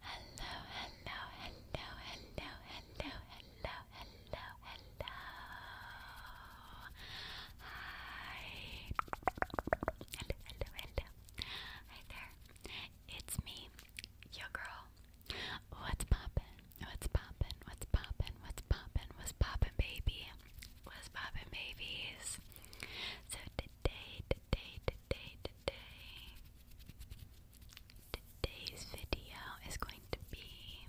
Hello, hello, hello, hello, hello, hello, hello, hello. Hi. Hello, hello, hello. Hi there. It's me, your girl. What's poppin'? What's poppin'? What's poppin'? What's poppin'? What's poppin', baby? What's poppin', babies? So today, today, today today, today's video is going to be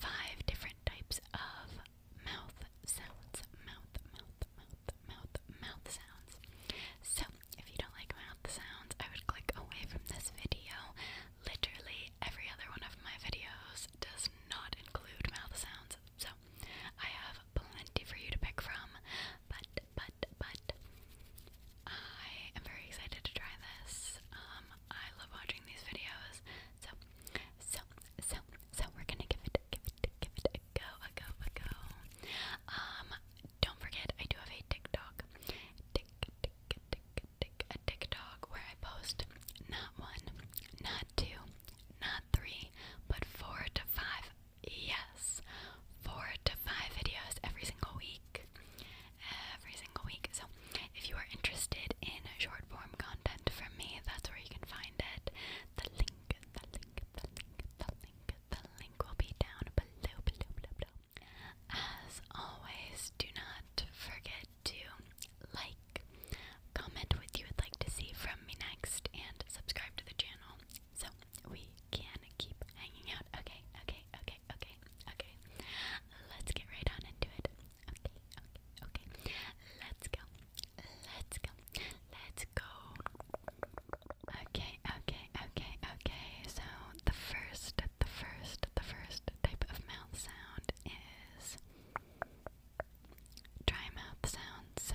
five different types of mouth sounds. Mouth, mouth, mouth, mouth, mouth sounds. So, if you don't like mouth sounds, I would click away from this video. Literally, every other one of my videos does not include mouth sounds. So, I have plenty for you to pick from, but but, but I am very excited to try this. Um, I love watching these videos. So, so, so, so we're gonna give it, give it, give it a go, a go, a go. Um, don't forget, I do have a TikTok. Tick, tick, tick, tick, a TikTok where I post not one, not two, not three, but four to five Yes, four to five videos every single week. Every single week. So, if you are interested in short form content from me, that's where you can find it. The link, the link, the link, the link, the link will be down below, below. As always, do not forget to like, comment what you would like to see from me next, and subscribe to the channel. So we can keep hanging out. Okay, okay, okay, okay, okay. Let's get right on into it. Okay, okay, okay. Let's go. Let's go. Let's go. Okay, okay, okay, okay. So the first, the first, the first type of mouth sound is dry mouth sound. So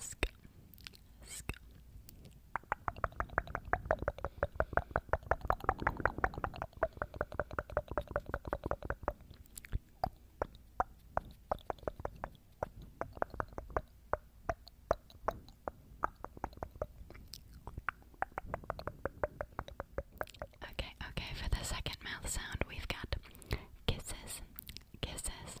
Sk Okay, okay, for the second mouth sound we've got kisses, kisses,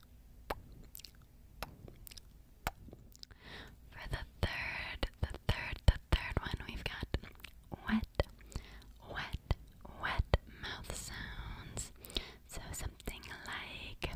For the third, the third, the third one, we've got wet, wet, wet mouth sounds. So something like.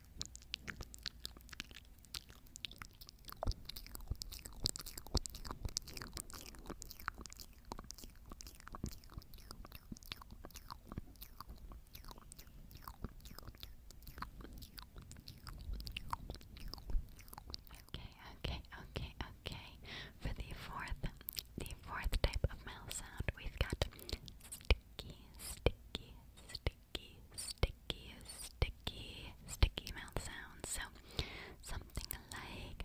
Okay, okay, okay, okay. For the fourth, the fourth type of mouth sound, we've got sticky, sticky, sticky, sticky, sticky, mouth sounds. So something like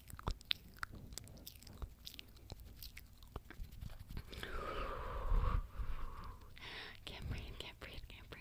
Can't breathe, can't breathe, can't breathe.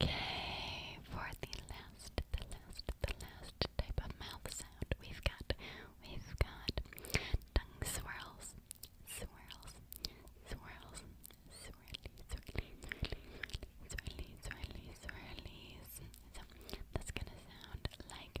Okay, for the last, the last, the last type of mouth sound we've got, we've got tongue swirls, swirls, swirls, swirly, swirly, swirly, swirly, swirly, swirlies. So that's gonna sound like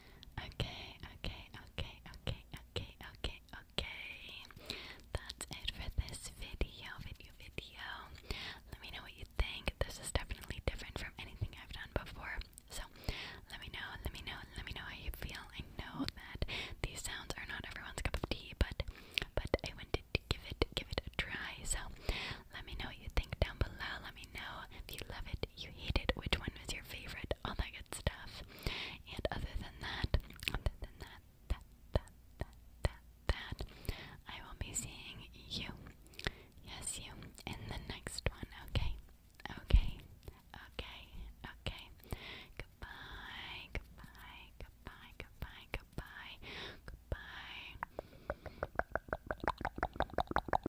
Okay, okay, okay, okay, okay, okay, okay. That's it for this video, video, video. Let me know what you think. This is definitely different from anything I've done before. So, let me know, let me know, let me know how you feel. I know that these sounds are not everyone's cup of tea, but but I wanted to give it give it a try. So, let me know what you think down below. Let me know if you love it, you hated, which one was your favorite, all that good stuff. And other than that, other than that, that, that, that, that, I will be seeing you, yes, you, in the next one, okay? Okay, okay, okay. Goodbye, goodbye, goodbye, goodbye, goodbye, goodbye.